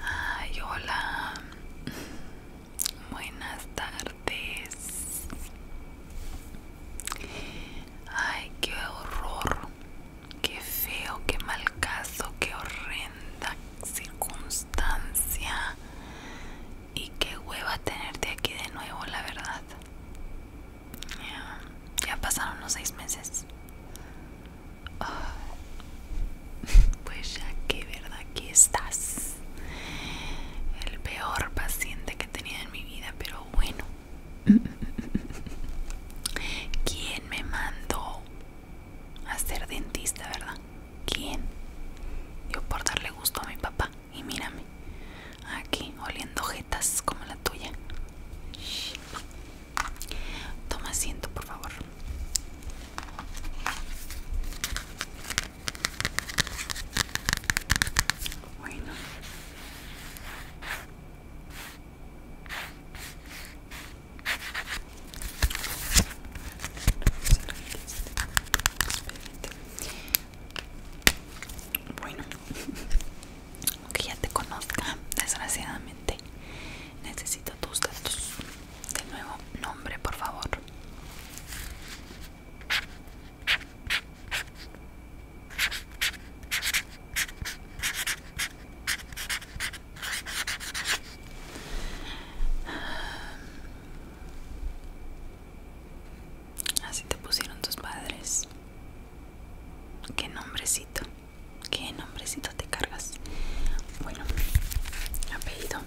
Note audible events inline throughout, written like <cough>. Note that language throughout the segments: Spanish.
Ay, hola. <laughs> Buenas tardes. Ay, qué horror. Qué feo, qué mal caso, qué horrenda circunstancia. Y qué hueva tenerte aquí de nuevo, la verdad. Ya, pasaron unos seis meses. <laughs> pues ya que verdad que estás. El peor paciente que he tenido en mi vida, pero bueno. <laughs> ¿Quién me mandó a ser dentista, verdad? ¿Quién? Yo por darle gusto a mi papá. Y mírame, aquí oliendo jetas como la tuya. Toma asiento, por favor. Bueno. Bueno, aunque <laughs> ya te conozca, desgraciadamente, Necesito tus datos. De nuevo, nombre, por favor. Así te pusieron tus padres. ¿Qué nombrecito? Qué nombrecito te cargas. Bueno, apellido.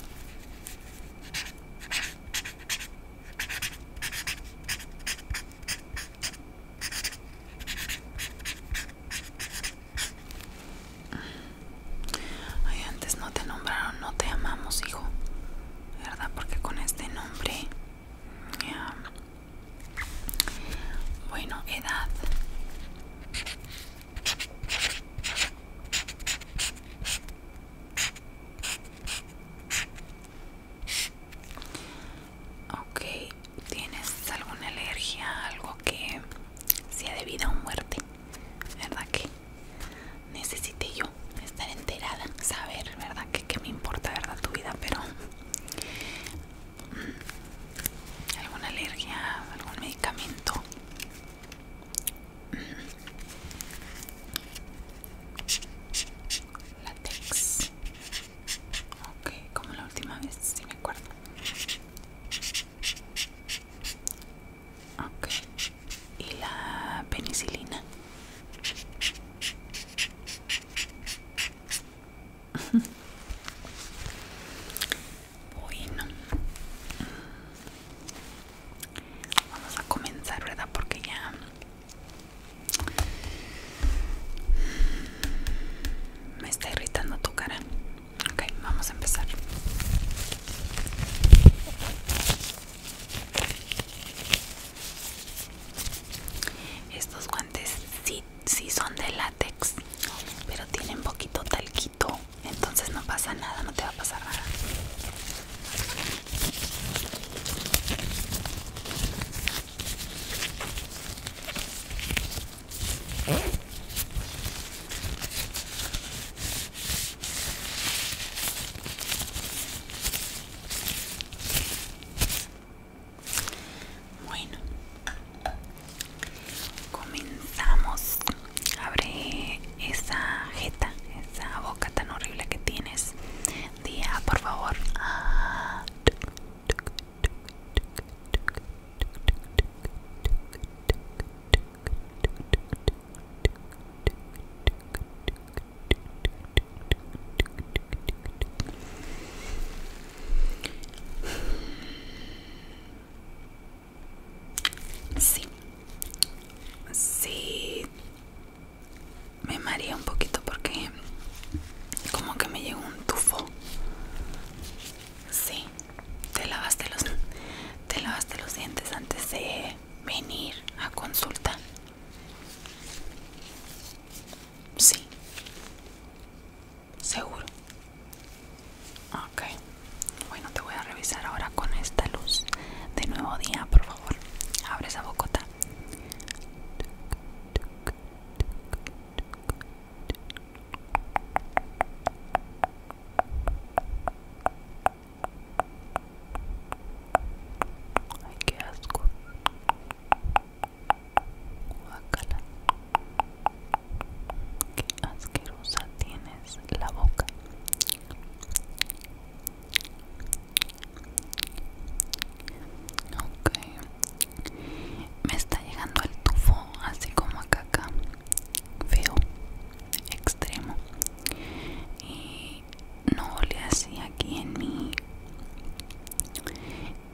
Ay, antes no te nombraron, no te amamos, hijo. ¿Verdad? Porque con este nombre... Bueno, edad. Ok, ¿tienes alguna alergia? Algo que sea de vida o muerte. ¿Verdad que necesite yo estar enterada? Saber, ¿verdad? Que, que me importa, ¿verdad? Tu vida, pero alguna alergia, algún medicamento. Látex. Ok, como la última vez, si me acuerdo. Ok. Y la penicilina. Bueno, vamos a comenzar, ¿verdad? Porque ya me está irritando tu cara. Ok, vamos a empezar. Estos guantes sí sí, son de látex, pero tienen poquito talquito, entonces no pasa nada, no te va a pasar nada. Bueno, comenzamos. Abre esa jeta, esa boca tan horrible que tienes. Día, por favor. Sí, sí, me mareé un poquito porque como que me llegó un tufo. Sí, te lavaste los, te lavaste los dientes antes de venir a consulta. Sí. Seguro. Ok. Bueno, te voy a revisar ahora con esta luz de nuevo día, por favor. Abre esa bocota. Ay, qué asco. Qué asquerosa tienes la boca. Me está llegando el tufo, así como acá, caca. Feo. Extremo. Y no le así aquí en mi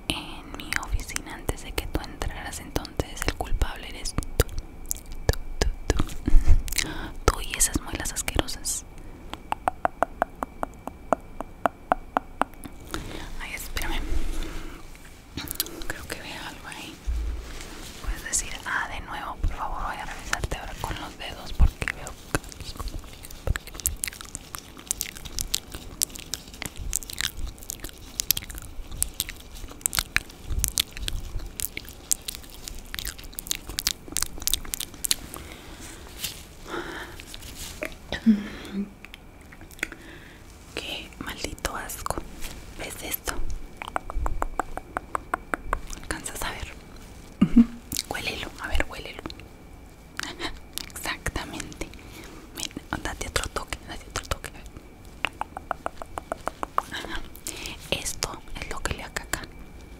en mi oficina antes de que tú entraras entonces el culpable eres tú tú, tú, tú. <laughs> tú y esas muelas asquerosas ay espérame creo que veo algo ahí puedes decir ah de nuevo por favor voy a revisarte ahora con los dedos porque veo Qué maldito asco. ¿Ves esto? ¿Alcanzas a ver? Huélelo, a ver, huélelo. <laughs> Exactamente. date otro toque, date otro toque. Esto es lo que le haga acá.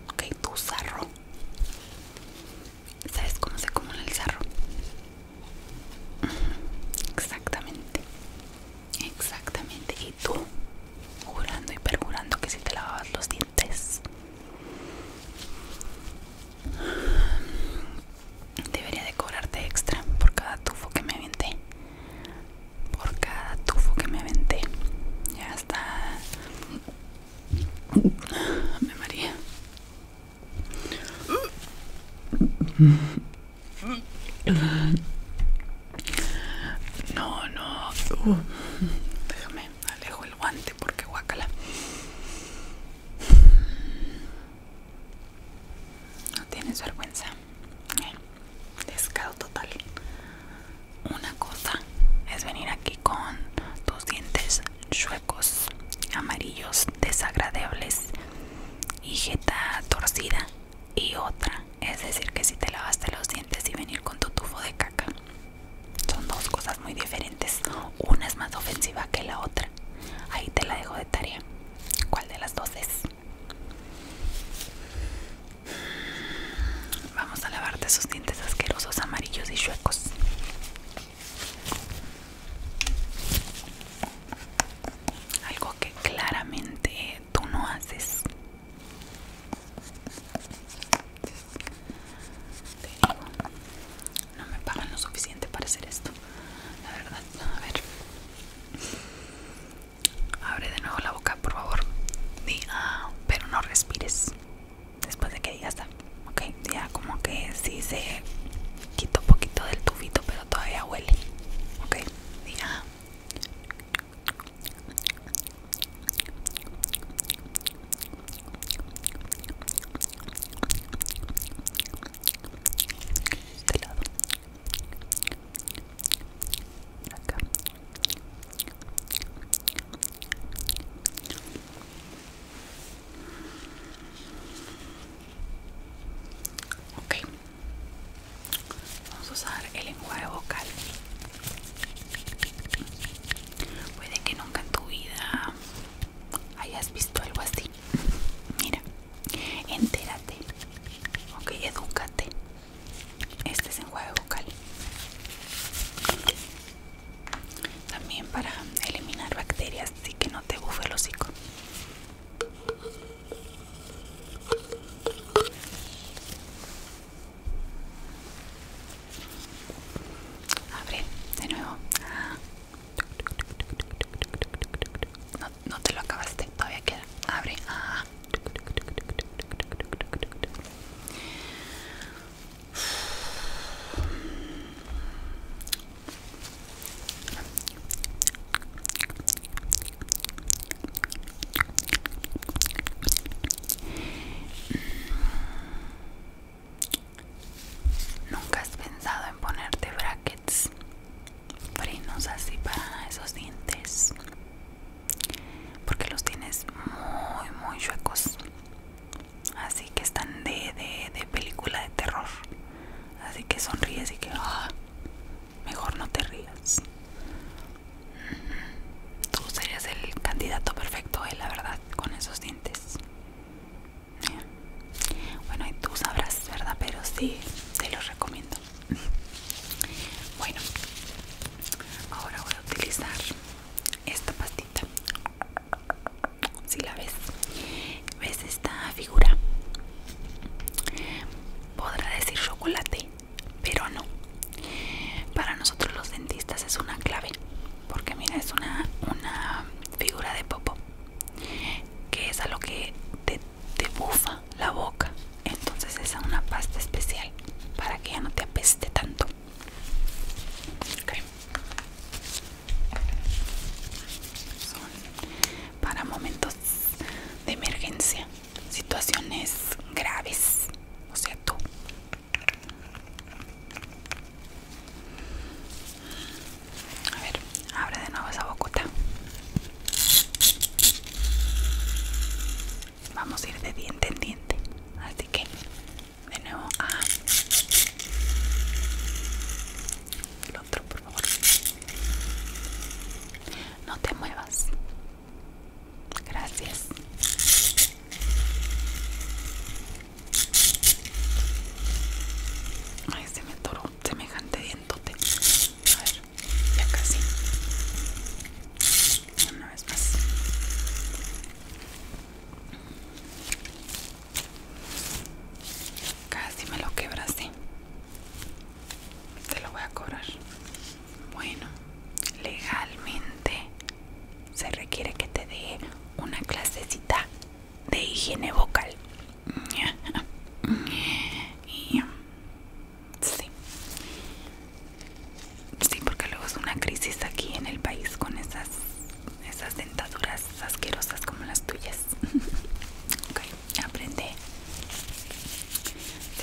Ok, tu sarro. ¿Sabes cómo se acumula el sarro? Exactamente. Exactamente. Y tú, jurando y perjurando que si te lavabas los dientes debería de cobrarte extra por cada tufo que me aventé por cada tufo que me aventé ya está me maría no no déjame alejo el guante porque guacala. No tienes vergüenza. Eh, descaro total. Una cosa es venir aquí con tus dientes chuecos, amarillos, desagradables y jeta torcida. Y otra es decir que si te lavaste los dientes y venir con tu tufo de caca. Son dos cosas muy diferentes. Una es más ofensiva que la otra. Ahí te la dejo de tarea. ¿Cuál de las dos es? Vamos a lavarte sus dientes asquerosos, amarillos y chuecos. Algo que claramente tú no haces no me pagan lo suficiente para hacer esto. La verdad, a ver. Abre de nuevo la boca, por favor. Ah, pero no respires. Después de que digas, ah, ok, ya como que sí se quito un poquito del tufito, pero todavía huele. Ok, dí ah este lado vamos a usar el lenguaje vocal Puede que nunca en tu vida hayas visto algo así. Mira, entérate, ok, edúcate. Este es enjuague vocal. También para eliminar bacterias, así que no te bufe el hocico. Abre de nuevo. No, te lo acabaste, todavía queda. Abre. Nunca has pensado en ponerte brackets frenos así para esos dientes porque los tienes muy muy huecos, así que están de, de, de película de terror así que sonríes y que ah, mejor no te rías Tú serías el candidato perfecto eh, la verdad, con esos dientes. Bueno, y tú sabrás, ¿verdad? Pero sí, te los recomiendo. Bueno, ahora voy a utilizar esta pastita. Si la ves, ves esta figura. Podrá decir chocolate, pero no. Para nosotros los dentistas es una clave, porque mira, es una, una figura de popo, que es a lo que te, bufa la boca. Entonces es una pasta especial para que ya no te apeste tanto. Son para momentos de emergencia situaciones graves, o sea, tú. A ver, abre de nuevo esa bocota. Vamos a ir de diente en diente. Así que, de nuevo, a El otro, por favor. No te muevas. Gracias. Ay, se me atoró semejante dientote. A ver, ya casi. Una vez más. Casi me lo quebraste. Te lo voy a cobrar. Bueno, legalmente se requiere que te dé una clasecita de higiene vocal. Y, sí. sí, porque luego es una crisis aquí en el país con esas, esas dentaduras asquerosas como las tuyas. <laughs> ok, aprende.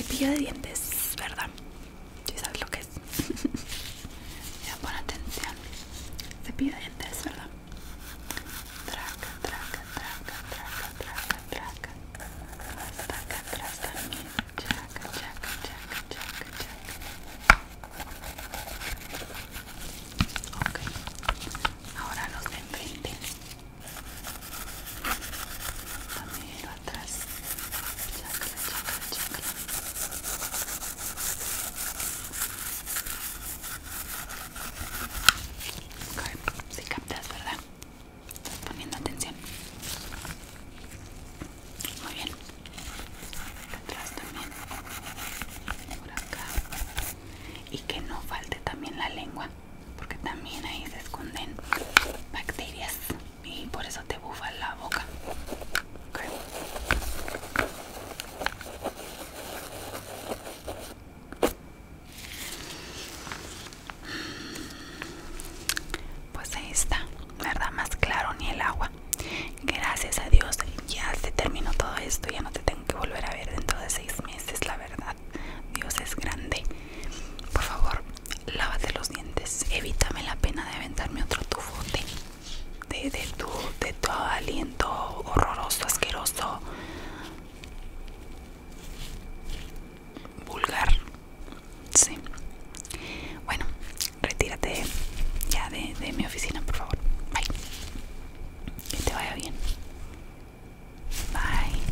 pilla de dientes, ¿verdad? si sabes lo que es <laughs> ya pon atención se pide dientes verdad traca traca traca traca traca traca traca atrás también traca traca traca ahora los de enfrente también atrás. Chácala, chácala, chácala. Ok, Si captas, ¿verdad? Estás poniendo atención. Muy bien. Atrás también. Por acá. Y que no falte también la lengua, porque también ahí se esconden bacterias y por eso te bufa la boca. Pues ahí está, ¿verdad? Más claro ni el agua. Gracias a Dios ya se terminó todo esto, ya no te tengo que volver a ver dentro de seis meses, la verdad. Dios es grande. Por favor, lávate los dientes, evítame la pena de aventarme otro tufote, de, tu, de aliento horroroso, asqueroso, vulgar. Sí. Bueno, retírate ya de, de mi oficina, por favor. Bye. Que te vaya bien. Bye.